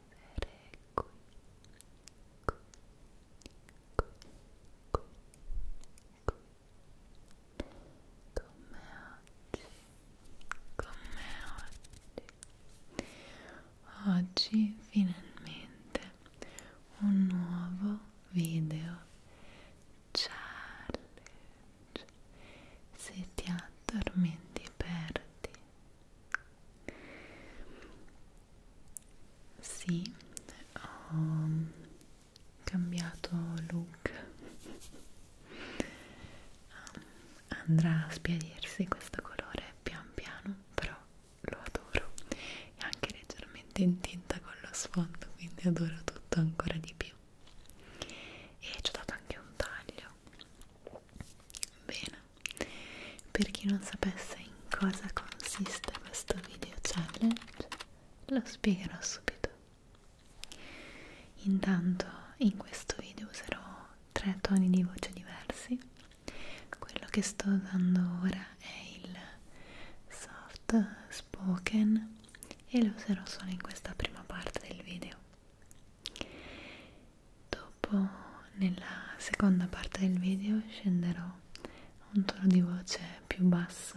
vivere qui, qui, qui, qui, qui, come oggi, come oggi. Oggi finalmente un nuovo video challenge. Se ti addormenti perdi sì, ho cambiato look. Andrà a spiarirsi questo colore pian piano, però lo adoro. È anche leggermente in tinta con lo sfondo, quindi adoro tutto ancora di più. E ci ho dato anche un taglio Bene, per chi non sapesse in cosa consiste questo video challenge, lo spiegherò subito. Intanto in questo video userò tre toni di voce diversi. Quello che sto usando ora è il soft spoken e lo userò solo in questa prima parte del video. Dopo, nella seconda parte del video, scenderò a un tono di voce più basso,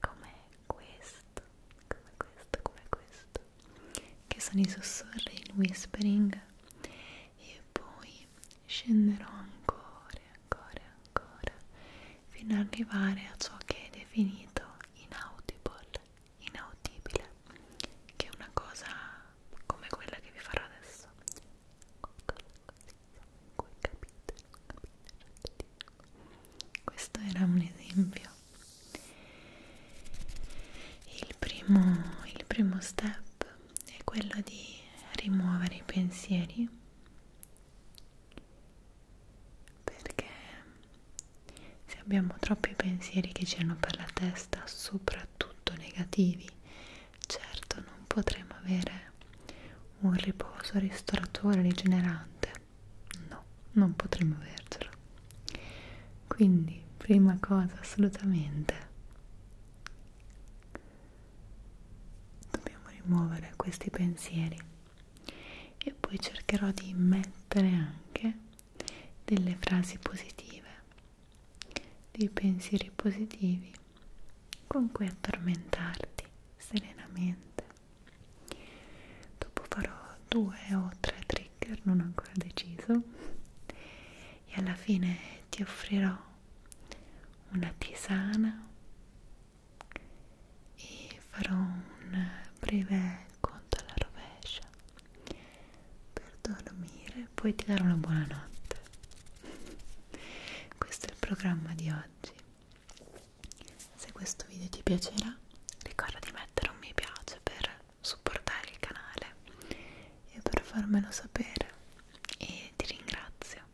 come questo, come questo, come questo, che sono i sussurri, il whispering, e poi scenderò ancora, ancora, ancora, fino ad arrivare a ciò che è definito inaudible inaudibile che una cosa come quella che vi farò adesso questo era un esempio il primo, il primo step è quello di rimuovere i pensieri perché se abbiamo troppi pensieri che girano per la testa, soprattutto negativi, certo non potremo avere un riposo ristoratore, rigenerante. No, non potremo avercelo. Quindi, prima cosa assolutamente, dobbiamo rimuovere questi pensieri e poi cercherò di mettere anche delle frasi positive, dei pensieri positivi con cui addormentarti serenamente. Dopo farò due o tre trigger, non ho ancora deciso, e alla fine ti offrirò una tisana e farò un breve il conto alla rovescia per dormire e poi ti dare una buona notte questo è il programma di oggi se questo video ti piacerà ricorda di mettere un mi piace per supportare il canale e per farmelo sapere e ti ringrazio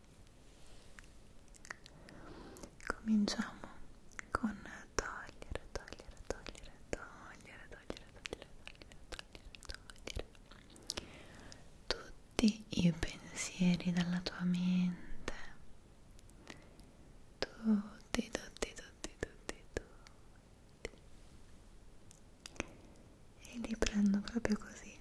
cominciamo con togliere, togliere, togliere, togliere, togliere, togliere, togliere, togliere, togliere tutti i pensieri dalla tua mente, tutti, tutti, tutti, tutti, tutti, e li prendo proprio così,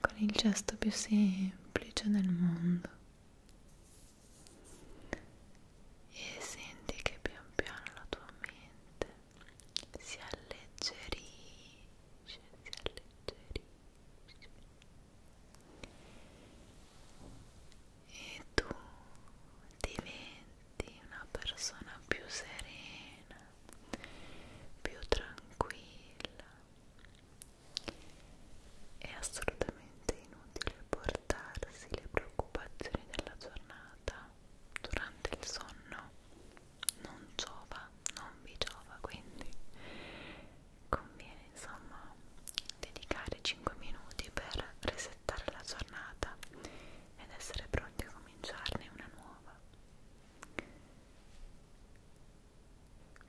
con il gesto più semplice del mondo e senti che pian piano la tua mente si alleggerisce, si alleggerisce e tu diventi una persona più serena, più tranquilla. È assolutamente inutile porre scartarsi le preoccupazioni della giornata durante il sonno non giova, non vi giova, quindi conviene insomma dedicare 5 minuti per resettare la giornata ed essere pronti a cominciarne una nuova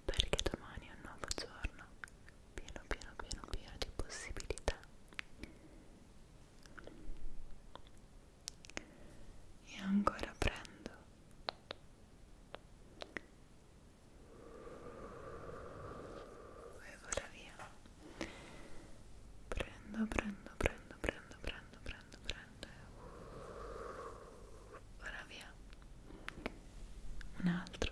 perché domani è un nuovo giorno pieno pieno pieno pieno di possibilità e ancora prendo e vado via prendo prendo prendo prendo prendo prendo prendo e vado via un altro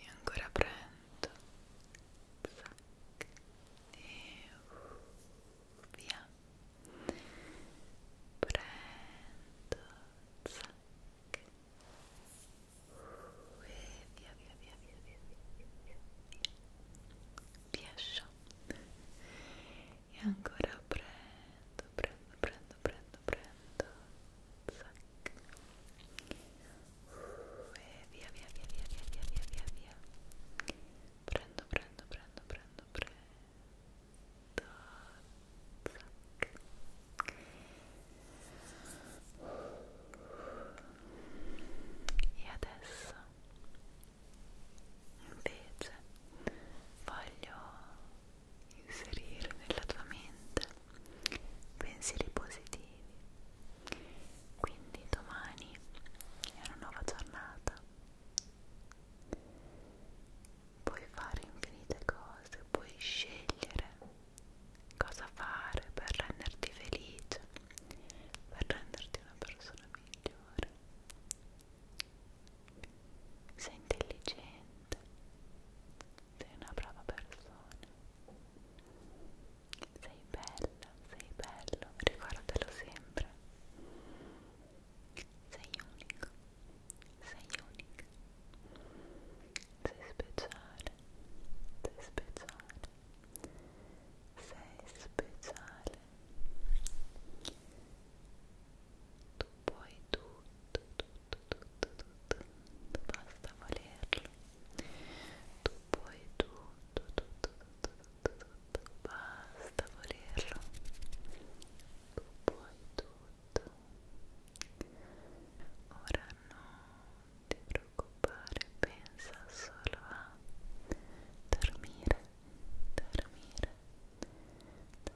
e ancora prendo Zac. e uh, via prendo Zac. Uh, e via via via via via via via via via e ancora prendo prendo prendo prendo prendo Zac. Uh, e via via via via via via via via via prendo prendo prendo prendo prendo Zac. e adesso invece voglio inserire nella tua mente pensieri positivi. Quindi domani è una nuova giornata. Puoi fare infinite cose, puoi scegliere cosa fare per renderti felice, per renderti una persona migliore. Sei intelligente niente sei una brava persona sei bella, sei bello, ricordalo sempre sei unico, sei unica sei speciale, sei speciale sei speciale tu puoi tutto tutto, tutto, tutto, tutto, basta volerlo. Tu puoi tutto, tutto, tutto, tutto, tutto, basta volerlo. Tu puoi tutto. Ora non ti preoccupare, pensa solo a dormire, dormire,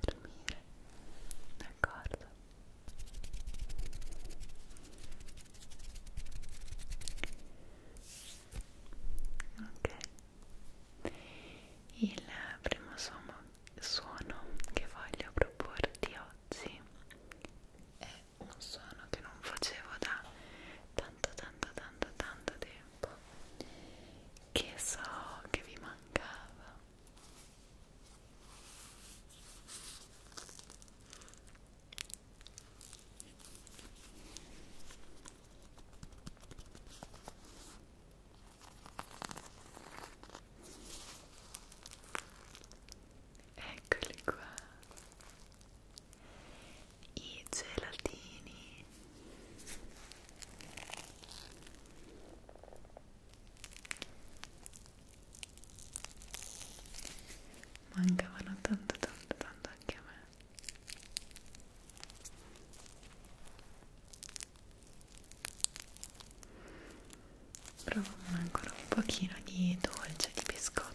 dormire, d'accordo? Ok, il primo suono, suono che voglio proporti oggi è un suono che non facevo da tanto tanto tanto tanto tempo che so che vi mancava Eccoli qua i gelatini mancavano tanto tanto tanto anche a me proviamo ancora un pochino di dolce di biscotto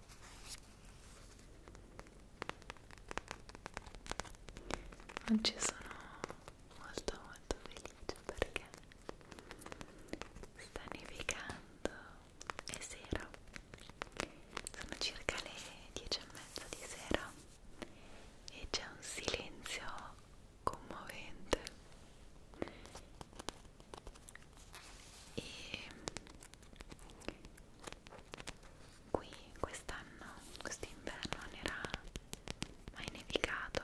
Oggi sono molto molto felice perché sta nevicando è sera sono circa le 10 e mezza di sera e c'è un silenzio commovente e Qui quest'anno, quest'inverno non era mai nevicato,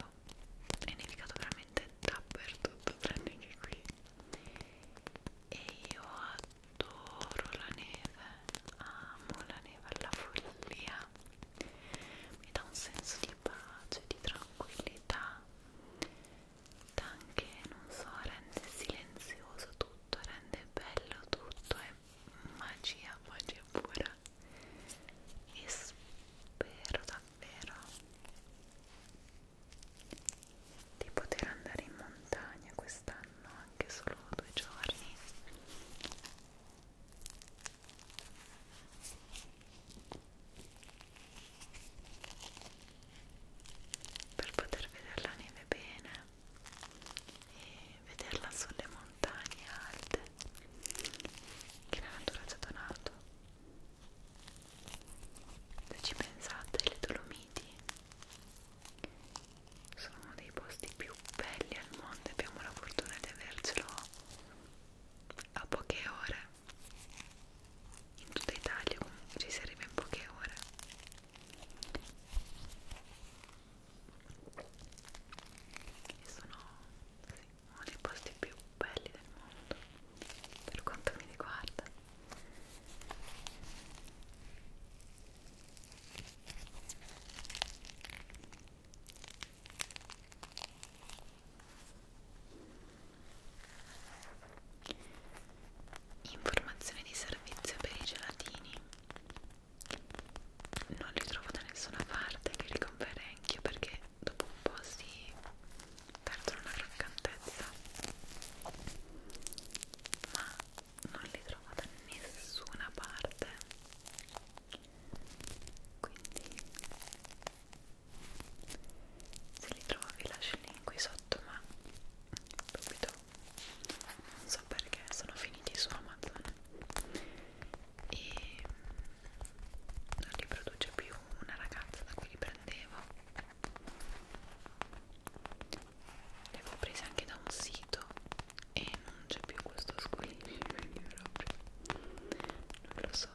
è nevicato veramente dappertutto tranne che qui e io adoro la neve, amo la neve alla follia, mi dà un senso di pace, di tranquillità anche, non so, rende silenzioso tutto, rende bello tutto, è magia, magia pura e spero davvero di poter andare in montagna quest'anno anche solo due giorni per poter vedere la neve bene e vederla sulle montagne alte che la natura ci ha donato. Se ci pensate, le Dolomiti sono uno dei posti più belli al mondo e abbiamo la fortuna di avercelo a poche ore. In tutta Italia comunque ci si arriva in poche ore che sono sì, uno dei posti più belli del mondo per quanto mi riguarda Informazioni di servizio per i gelatini. Non li trovo da nessuna parte che li comprerei anch'io perché dopo un po' si perdono la croccantezza. Ma non li trovo da nessuna parte. Quindi se li trovo vi lascio il link qui sotto ma dubito subito non so perché sono finiti su Amazon e non li produce più una ragazza da cui li prendevo li avevo presi anche da un sito e non c'è più questo squillo quindi proprio non lo so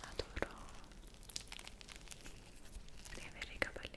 Adoro di avere i capelli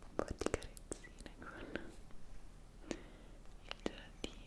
un po' di carezzine con il gelatino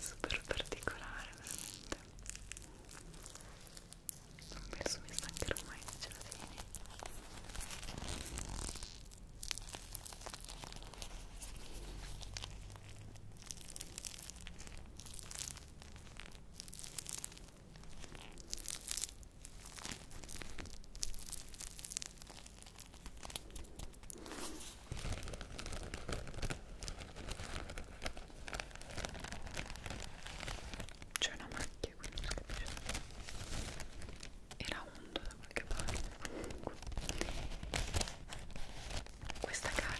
super particolare veramente non penso mi stancherò mai di gelatini c'è una macchia qui, non si capisce. Era onda da qualche parte. Questa carta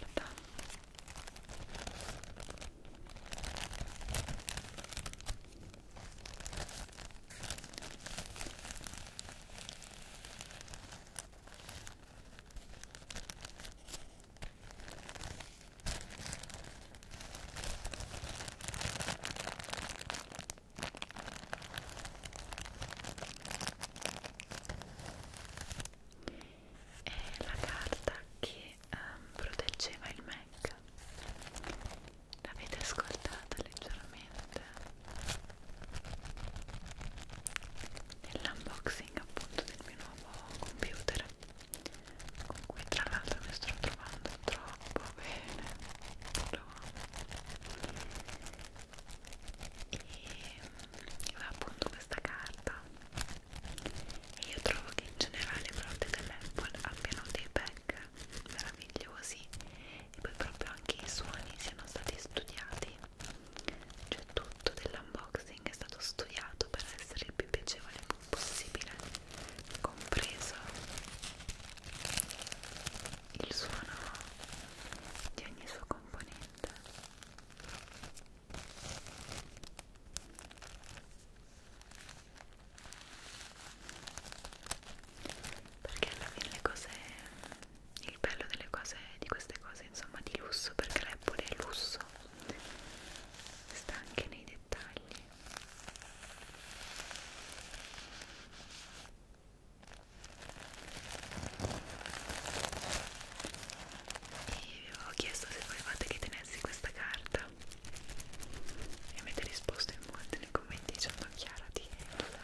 è la carta che um, proteggeva il Mac l'avete ascoltata leggermente velocemente nell'unboxing appunto del mio nuovo computer con cui tra l'altro mi sto trovando troppo bene lo e aveva appunto questa carta e io trovo che in generale i prodotti dell'Apple abbiano dei pack meravigliosi e poi proprio anche i suoni siano stati studiati cioè tutto dell'unboxing è stato studiato per essere il più piacevole possibile compreso il suono di ogni suo componente perché alla fine le cose il bello delle cose di queste cose insomma di lusso perché l'Apple è lusso sta anche nei dettagli e vi avevo chiesto se volevate che tenessi questa carta e avete risposto in molti nei commenti dicendo Chiara di Elsa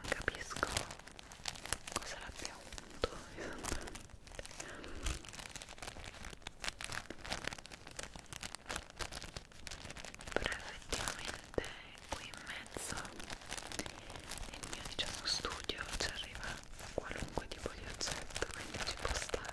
Non capisco cosa l'abbia unto esattamente però effettivamente qui in mezzo nel mio diciamo studio ci arriva qualunque tipo di oggetto quindi ci può stare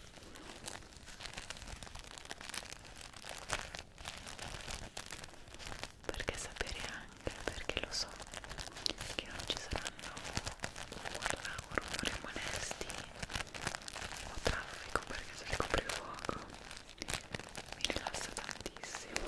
perché sapere anche perché lo so che non ci saranno rumori molesti o traffico perché se il coprifuoco mi rilassa tantissimo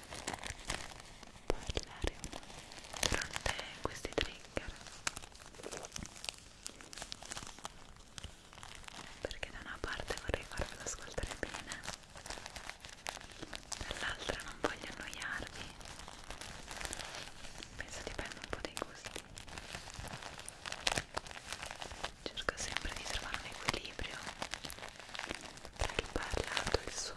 parlare durante questi trigger perché da una parte vorrei farvelo ascoltare bene dall'altra non voglio annoiarvi penso dipenda un po' dai gusti cerco sempre di trovare un equilibrio tra il parlato e il suono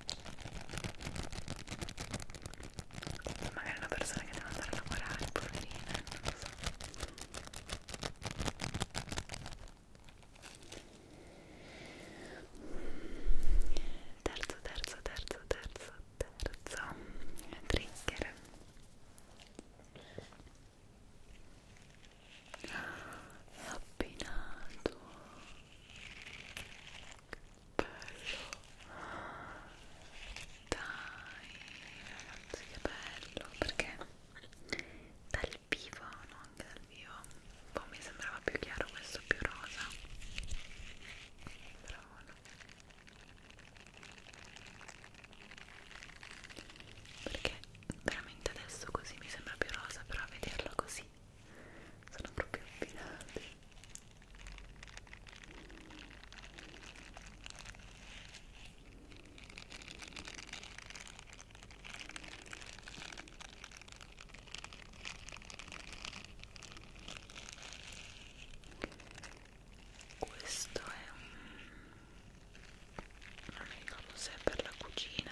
magari è una persona che deve andare a lavorare poverina non lo so terzo terzo terzo terzo terzo trigger è appinato bello dai ragazzi che bello perché dal vivo no anche dal vivo un po' mi sembrava più chiaro questo più rosa però no perché veramente adesso così mi sembra più rosa però a vederlo così sono proprio abbinati questo è un... non mi ricordo se è per la cucina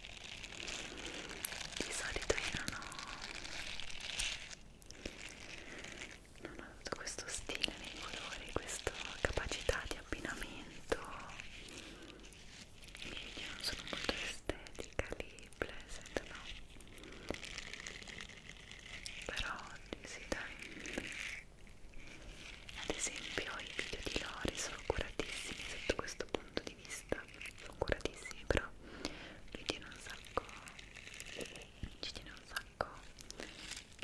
di solito io non ho non ho avuto questo stile nei colori questa capacità di abbinamento i video non sono molto estetica lì pleasant no però oggi sì dai ad esempio i video di Lori sono curatissimi sotto questo punto di vista sono curatissimi però lui tiene un sacco ci tiene un sacco che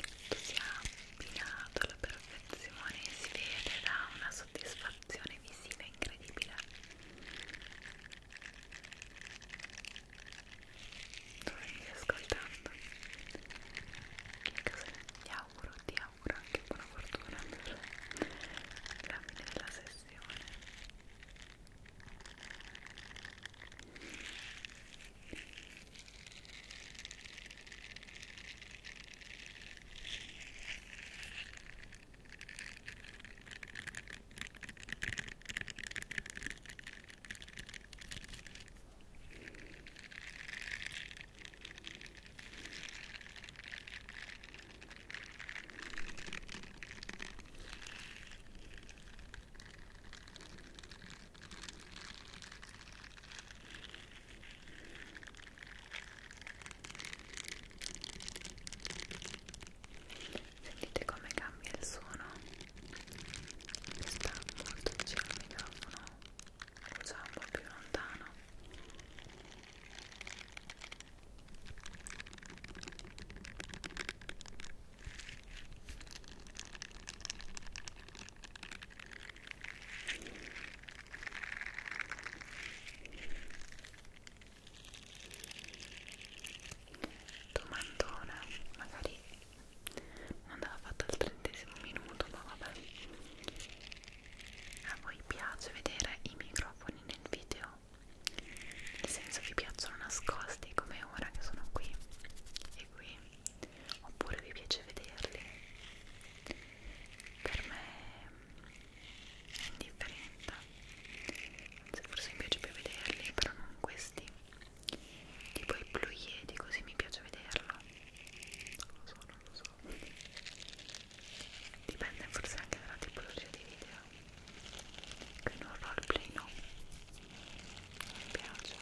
tutto sia abbinato alla perfezione si vede da una soddisfazione visiva incredibile dove mi stai ascoltando? che cosa ti auguro? ti Laura que por fortuna me de la sesiones Sentite come cambia il suono? Sta molto vicino al microfono, lo uso un po' più lontano. Domandona, magari non andava fatta al trentesimo minuto, ma vabbè a voi piace vedere i microfoni nel video? Nel senso vi piacciono nascosti come ora che sono qui e qui? Oppure vi piace vederli? Per me è indifferente. Anzi, forse mi piace più vederli, però non questi. Tipo i blu iedi, così mi piace vederlo. Solo. non lo dipende forse anche dalla tipologia di video che non piace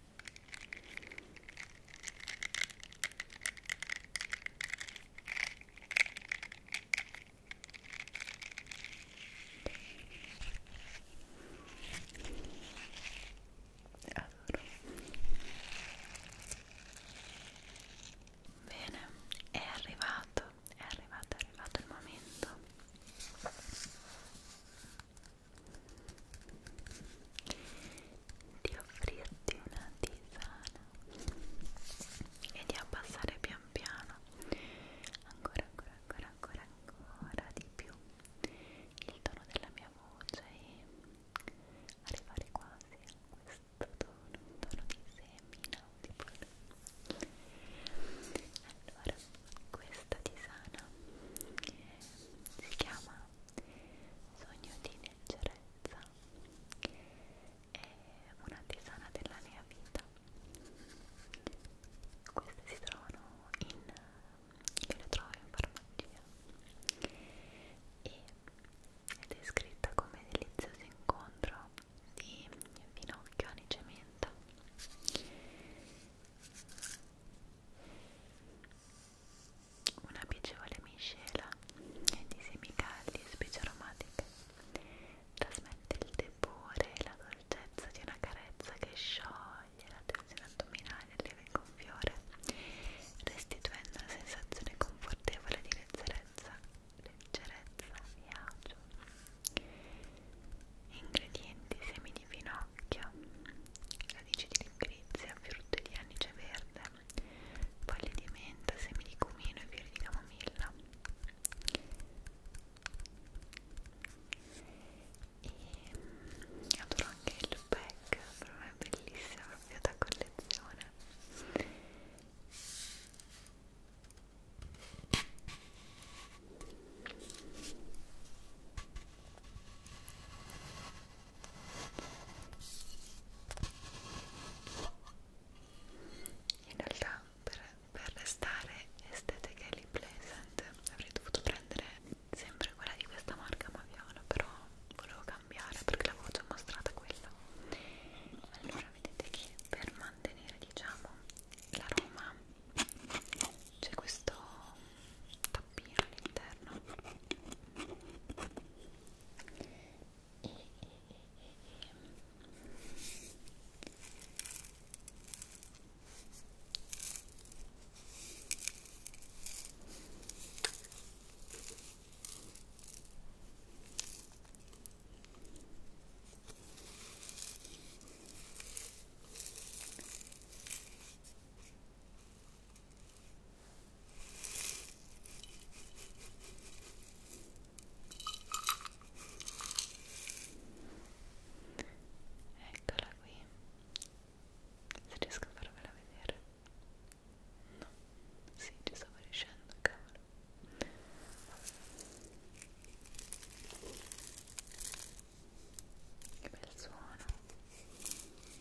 Allora. Bene, è arrivato, è arrivato, è arrivato il momento di offrirti una tisana e di abbassare pian piano ancora ancora ancora ancora ancora di più il tono della mia voce e arrivare quasi a questo tono un tono di semi inaudible allora questa tisana eh, si chiama sogno di leggerezza è una tisana della mia vita queste si trovano in io le trovo in farmacia e, ed è scritta come delizioso incontro di finocchio, anice e menta una piacevole miscela di semi caldi e specie aromatiche trasmette il tepore e la dolcezza di una carezza che scioglie la tensione addominale e leva in gonfiore restituendo una sensazione confortevole di leggerezza leggerezza e agio ingredienti semi di finocchio radici di grinzia, frutto di anice verde, foglie di menta, semi di cumino e fiori di camomilla. E adoro anche il pack, per me è bellissima, proprio da collezione in realtà per, per restare estetically pleasant avrei dovuto prendere sempre quella di questa marca Maviano però volevo cambiare perché l'avevo già mostrata quella allora vedete che per mantenere diciamo l'aroma c'è questo tappino all'interno e, e, e, e, e. Eccola qui. Se riesco a farvela vedere. No, sì, ci stavo riuscendo, cavolo. Che bel suono ha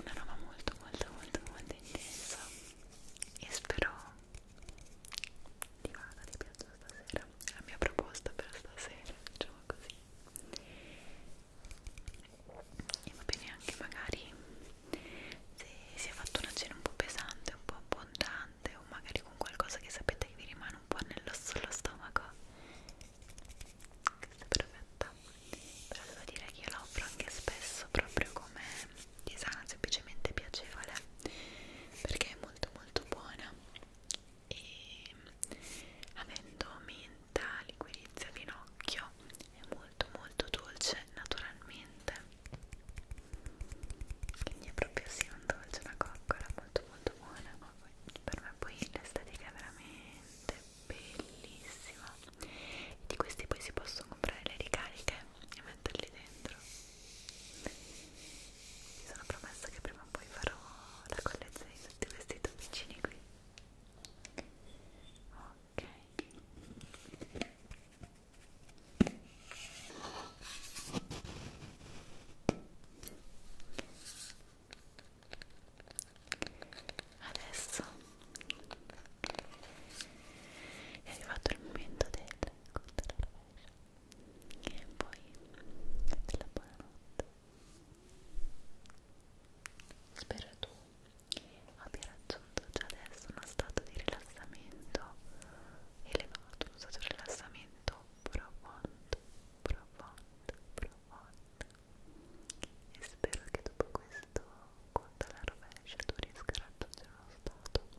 una roba molto molto molto molto intensa e spero divana di pioggia stasera è la mia proposta per stasera diciamo così e va bene anche magari se si è fatto una cena un po' pesante un po' abbondante o magari con qualcosa che sapete che vi rimane un po' nello sullo stomaco questa è perfetta però devo dire che io la offro anche spesso proprio come di sana semplicemente piacevole perché è molto molto buona e avendo menta, liquirizia, finocchio è molto molto dolce naturalmente quindi è proprio sì un dolce, una coccola molto molto buona per me poi l'estetica è veramente bellissima e di questi poi si possono comprare le ricariche e metterli dentro mi sono promessa che prima o poi farò la collezione di tutti questi tubicini qui ok Adesso è arrivato il momento del del conto alla rovescia e poi della buonanotte spero tu abbia raggiunto già adesso uno stato di rilassamento elevato uno stato di rilassamento profondo profondo profondo e spero che dopo questo conto alla rovescia tu riesca a raggiungere uno stato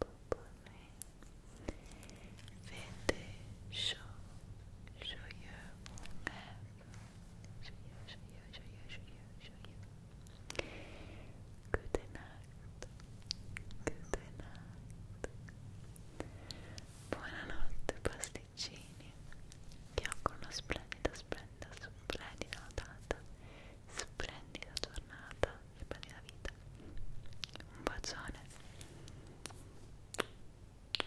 abandonné. Fêtez chaud, joyeux mon rêve. Joyeux, joyeux, joyeux, joyeux, joyeux. Good night. Good night. Buonanotte pasticcini. Che auguro una splendida, splendida, splendida data splendida giornata, splendida vita. Un bacione. Ti spero.